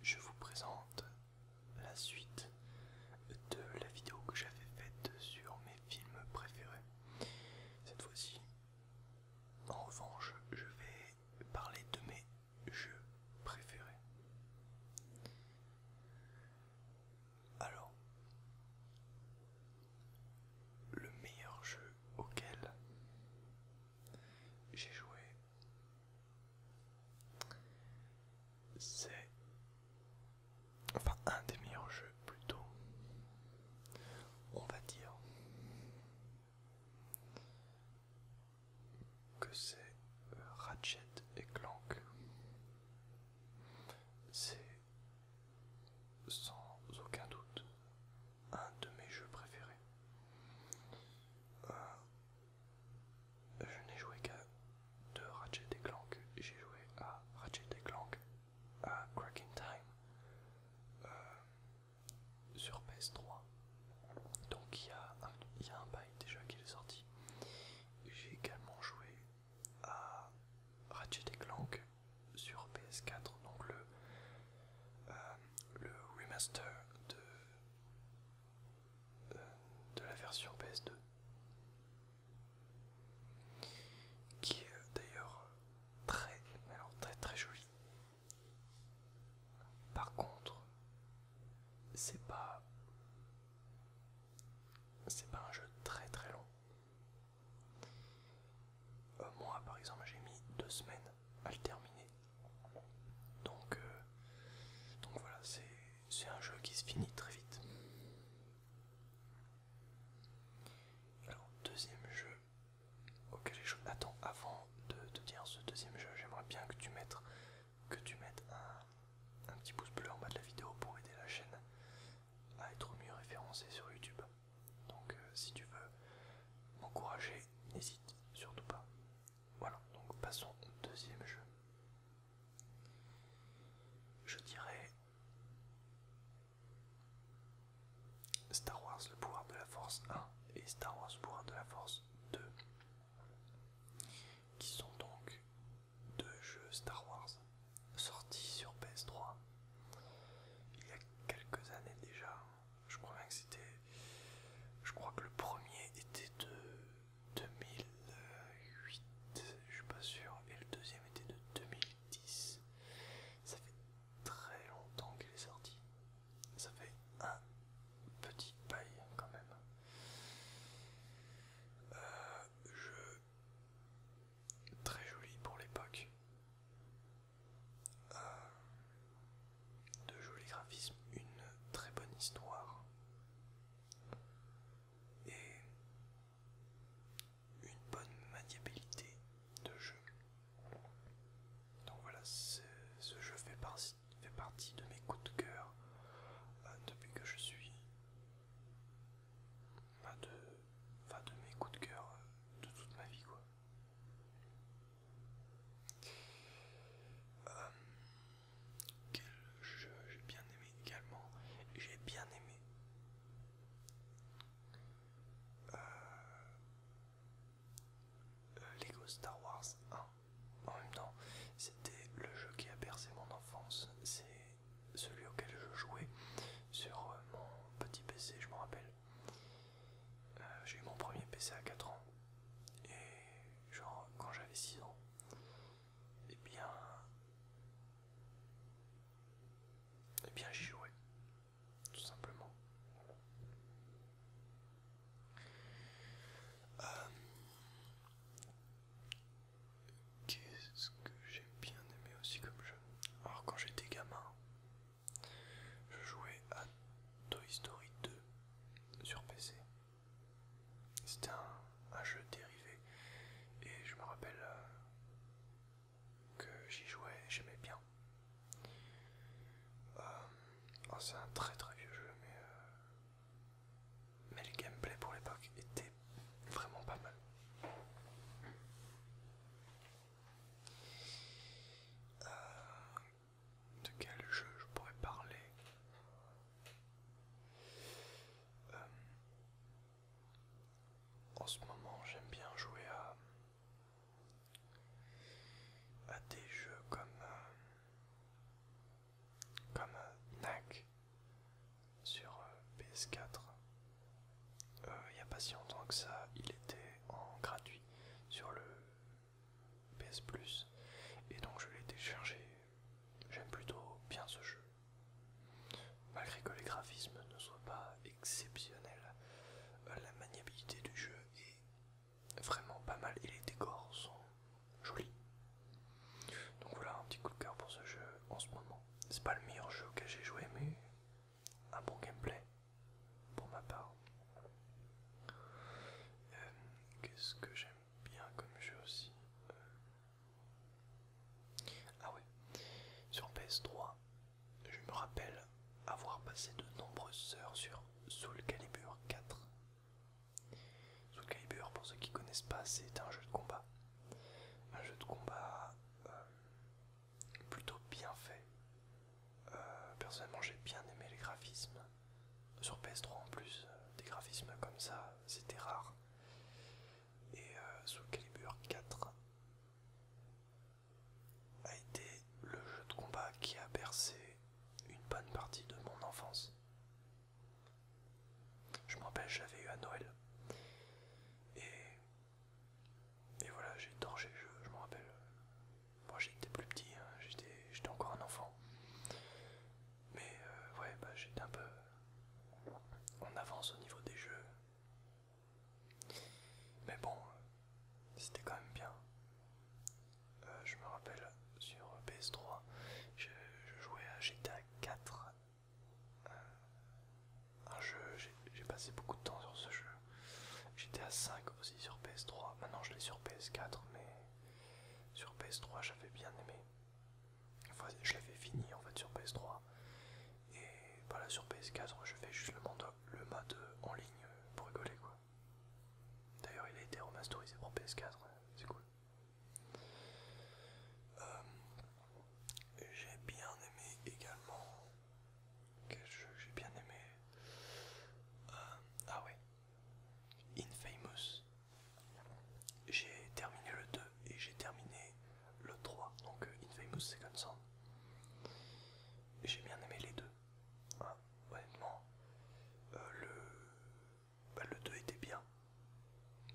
Je vous présente la suite de la vidéo que j'avais faite sur mes films préférés. Cette fois-ci, en revanche, je vais parler de mes jeux préférés. Alors, le meilleur jeu auquel j'ai joué c'est enfin un des meilleurs jeux plutôt, on va dire que c'est Ratchet et Clank. C'est sans aucun doute un de mes jeux préférés je n'ai joué qu'à deux Ratchet et Clank. J'ai joué à Ratchet et Clank, à Cracking Time, euh, sur PS3. Donc il y, a un bail déjà qui est sorti. J'ai également joué à Ratchet et Clank sur PS4, donc le, euh, le remaster de euh, de la version PS2 qui est euh, d'ailleurs très très très jolie par contre c'est pas c'est pas un jeu très très long moi par exemple j'ai mis deux semaines à le terminer. Donc, euh, donc voilà, c'est un jeu qui se finit très vite. Alors, deuxième jeu auquel je... Attends, avant de te dire ce deuxième jeu, j'aimerais bien que tu mettes, que tu mettes un, petit pouce bleu en bas de la vidéo pour aider la chaîne à être mieux référencée sur YouTube. Donc euh, si tu veux m'encourager, n'hésite surtout pas. Voilà, donc passons au deuxième jeu. Je dirais Star Wars le pouvoir de la force 1 et Star Wars le pouvoir de la force 2 qui sont donc deux jeux Star Wars sortis sur PS3 il y a quelques années déjà je crois bien que c'était. Je crois que le premier était de 2008, je suis pas sûr, et le deuxième était de 2010. Ça fait très longtemps qu'il est sorti. Ça fait un petit bail quand même. Euh, je, très joli pour l'époque. Euh, de jolis graphismes, une très bonne histoire et une bonne maniabilité de jeu. Donc voilà, ce jeu fait, partie de mes coups de cœur euh, depuis que je suis. Pas de, de mes coups de cœur euh, de toute ma vie quoi j'ai bien aimé également. J'ai bien aimé. Lego Star Wars 1. En même temps, c'était le jeu qui a percé mon enfance. C'est celui auquel je jouais sur mon petit PC, je me rappelle. Euh, j'ai eu mon premier PC à 4 ans. Et genre quand j'avais 6 ans, et eh bien, et eh bien j'y jouais, tout simplement. Euh, qu'est-ce que j'ai bien aimé aussi comme jeu Alors quand j'étais gamin, je jouais à Toy Story 2 sur PC. C'était un, jeu dérivé et je me rappelle euh, que j'y jouais j'aimais bien. Euh, oh, c'est un très très vieux jeu mais, euh, mais le gameplay pour l'époque était vraiment pas mal de quel jeu je pourrais parler euh, en ce moment j'aime bien jouer à des jeux comme euh, comme euh, sur PS4 il n'y a pas si longtemps que ça il était en gratuit sur le PS Plus et donc je l'ai téléchargé. J'aime plutôt bien ce jeu. Malgré que les graphismes ne soient pas exceptionnels, euh, la maniabilité du jeu est vraiment pas mal et les décors sont jolis. Donc voilà un petit coup de cœur pour ce jeu en ce moment. C'est pas le meilleur jeu que j'ai joué mais un bon gameplay pour ma part. Euh, qu'est-ce que j'aime bien comme jeu aussi euh, Ah ouais, sur PS3, je me rappelle avoir passé de nombreuses heures sur Soul Calibur 4. Soul Calibur, pour ceux qui ne connaissent pas, c'est un jeu de combat. Un jeu de combat euh, plutôt bien fait. Euh, personnellement, j'ai bien aimé les graphismes. Sur PS3 en plus, euh, des graphismes comme ça, c'était rare. Et sous euh, Soul Calibur 4 a été le jeu de combat qui a percé une bonne partie de mon enfance. Je me rappelle, j'avais eu à Noël. Et et voilà, j'ai torché le jeu, je me rappelle. Moi j'étais plus petit, hein, j'étais encore un enfant. Mais euh, ouais, bah, j'étais un peu On avance au niveau des jeux. Mais bon, c'était quand même bien. Euh, je me rappelle sur PS3, je, jouais à GTA 4. Euh, un jeu, j'ai passé beaucoup de temps sur ce jeu. J'étais à 5 aussi sur PS3. Maintenant je l'ai sur PS4, mais sur PS3 j'avais bien aimé. Enfin, je l'avais fini en fait sur PS3. Et voilà, sur PS4 je fais juste le mode, en ligne pour rigoler quoi. D'ailleurs il a été remasterisé pour PS4, c'est cool. Euh, j'ai bien aimé également quel jeu j'ai bien aimé. Euh, ah ouais, Infamous. J'ai terminé le 2 et j'ai terminé le 3, donc euh, Infamous c'est comme ça J'ai bien aimé les deux. Ah, honnêtement, euh, le... 2 bah, était bien,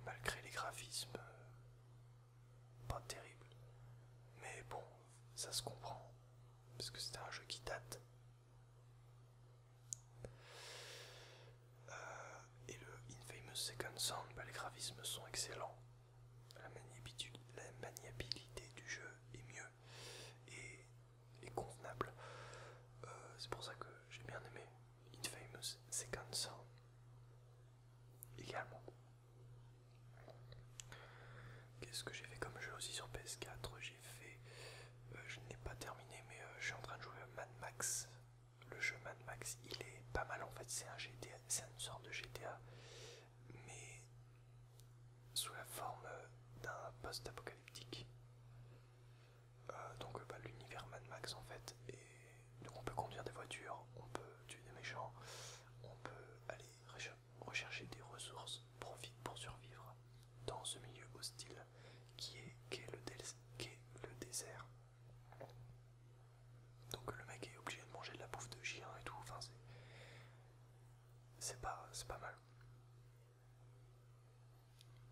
malgré les graphismes pas terribles. Mais bon, ça se comprend parce que c'était un jeu qui date. Euh, et le Infamous Second Sound, bah, les graphismes sont excellents. La maniabilité, du jeu est mieux et, convenable. Euh, c'est pour ça que j'ai bien aimé Infamous Second Sound également. Qu'est-ce que j'ai fait comme jeu aussi sur PS4 J'ai fait. Euh, je n'ai pas terminé, mais euh, je suis en train de jouer à Mad Max. Le jeu Mad Max, il est pas mal en fait. C'est un GTA, c'est une sorte de GTA, mais sous la forme euh, d'un post-apocalyptique. donc, bah, l'univers Mad Max en fait. Et donc, on peut conduire des voitures, on peut tuer des méchants, on peut aller rechercher des ressources profite pour survivre dans ce milieu hostile qui est, le, désert. Donc le mec est obligé de manger de la bouffe de chien et tout, enfin c'est pas, pas mal.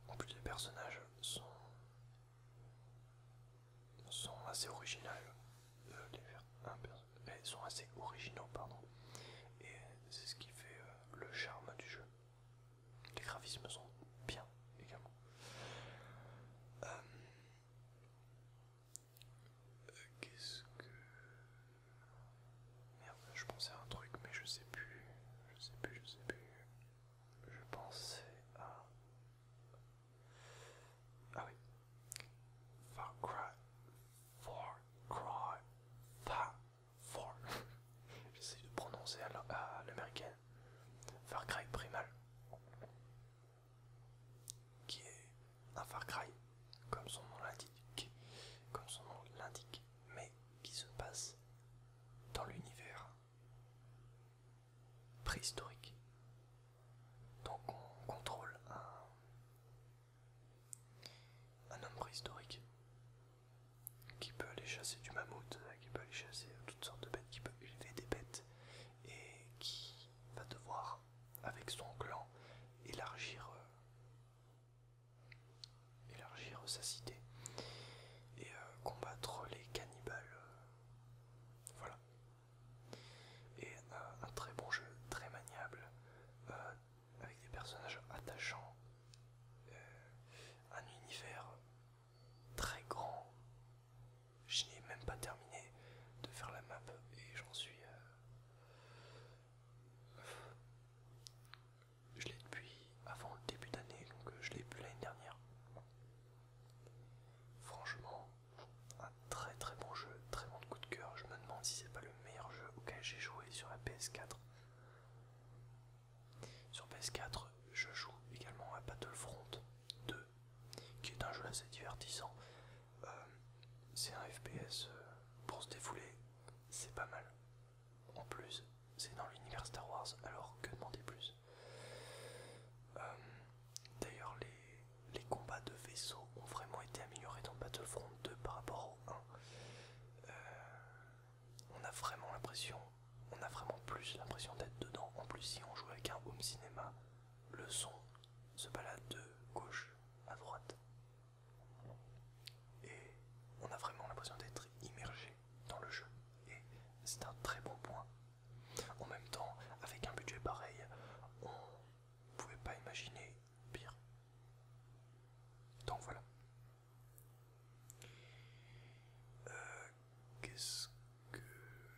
En plus les personnages sont, sont assez originaux. Ils euh, sont assez originaux, pardon. Et c'est ce qui fait euh, le charme du jeu. Les graphismes sont bien également. Euh, qu'est-ce que... Merde, je pensais à un truc, mais je sais plus. Je sais plus, je sais plus. Je pensais à... Ah oui. Far Cry. Far Cry. Far. Far. J'essaie de prononcer à l'américaine. Far Cry Primal. Qui est un Far Cry, comme son nom l'indique. Comme son nom l'indique. Mais qui se passe dans l'univers préhistorique. Donc on contrôle un un homme préhistorique qui peut aller chasser du mammouth, euh, qui peut aller chasser euh, toutes sortes de bêtes, qui peut élever des bêtes et qui va devoir, avec son clan, euh, élargir, sa cité et combattre les cannibales. Voilà, et un très bon jeu, très maniable, euh, avec des personnages attachants, euh, un univers très grand. Je n'ai même pas terminé de faire la map et j'en suis... Euh, je l'ai depuis avant le début d'année, donc je l'ai plus l'année dernière. Franchement, un très très bon jeu, très bon coup de cœur. Je me demande si c'est pas le meilleur jeu auquel j'ai joué sur la PS4. Sur PS4, je joue également à Battlefront 2, qui est un jeu assez divertissant. Euh, c'est un FPS euh, pour se défouler, c'est pas mal. En plus, c'est dans l'univers Star Wars, alors que demander plus euh, D'ailleurs, les, combats de vaisseaux ont vraiment été améliorés dans Battlefront 2 par rapport au 1. Euh, on a vraiment l'impression, on a vraiment plus l'impression d'être dedans. En plus, si on joue avec un home cinéma, le son se balade de gauche à droite. Et on a vraiment l'impression d'être immergé dans le jeu. Et c'est un très bon point. En même temps, avec un budget pareil, on vous pouvez pas imaginer pire. Donc voilà. Euh, qu'est-ce que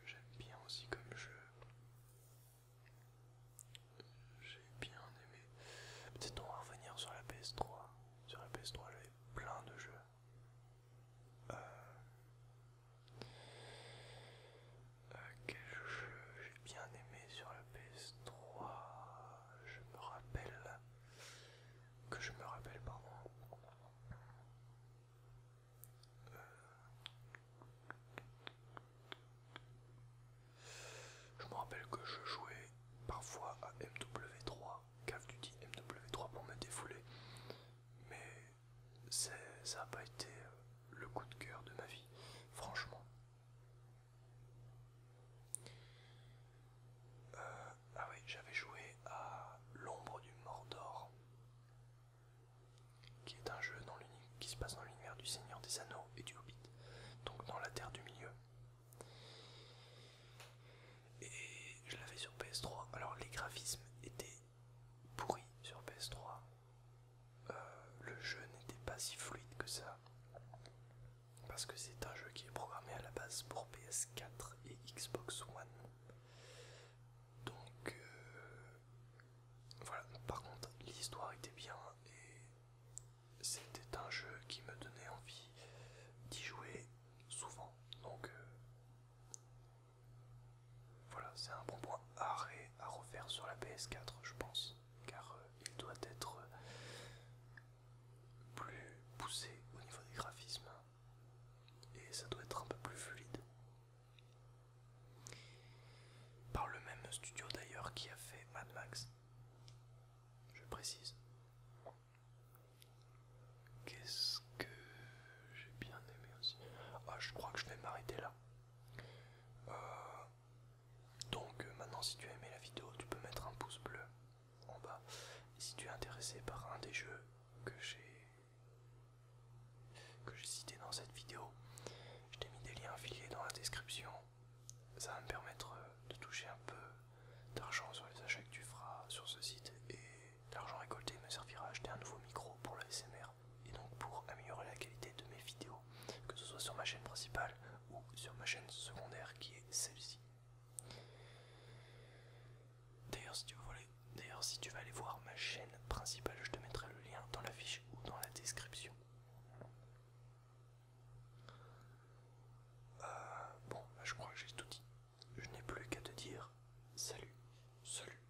j'aime bien aussi comme jeu J'ai bien aimé. Peut-être on va revenir sur la PS3. Sur la PS3 j'avais plein de jeux. Euh, quel jeu j'ai bien aimé sur la PS3 Je me rappelle. Que je me rappelle, pardon. Euh, je me rappelle que je jouais parfois à MW3, cave Duty MW3 pour me défouler, mais ça n'a pas été euh, le coup de cœur de ma vie, franchement. Euh, ah oui, j'avais joué à L'ombre du Mordor, qui est un jeu qui se passe dans l'univers du Seigneur des Anneaux et du Hobbit, donc dans la Terre du Milieu. Et je l'avais sur PS3. Alors les graphismes étaient pourris sur PS3. Euh, le jeu n'était pas si fluide que ça. Parce que c'est un jeu qui est programmé à la base pour PS4 et Xbox One. Donc euh, voilà, par contre l'histoire était bien et c'était un jeu qui me donnait envie d'y jouer souvent. Donc euh, voilà, c'est un bon point arrêt à refaire sur la PS4, je pense, car euh, il doit être euh, plus poussé au niveau des graphismes et ça doit être un peu plus fluide. Par le même studio d'ailleurs qui a fait Mad Max, je précise. Qu'est-ce que j'ai bien aimé aussi Ah, je crois que je vais m'arrêter là. Euh, donc euh, maintenant si tu as aimé la vidéo tu peux mettre un pouce bleu en bas si tu es intéressé par un des jeux que j'ai que cité dans cette vidéo je t'ai mis des liens affiliés dans la description ça va me permettre euh, de toucher un peu d'argent sur les achats que tu feras sur ce site et l'argent récolté me servira à acheter un nouveau micro pour le SMR et donc pour améliorer la qualité de mes vidéos, que ce soit sur ma chaîne principale ou sur ma chaîne secondaire qui est celle-ci. D'ailleurs si, si tu vas aller voir ma chaîne principale, je te mettrai le lien dans la fiche ou dans la description. Euh, bon, bah, je crois que j'ai tout dit. Je n'ai plus qu'à te dire salut, salut,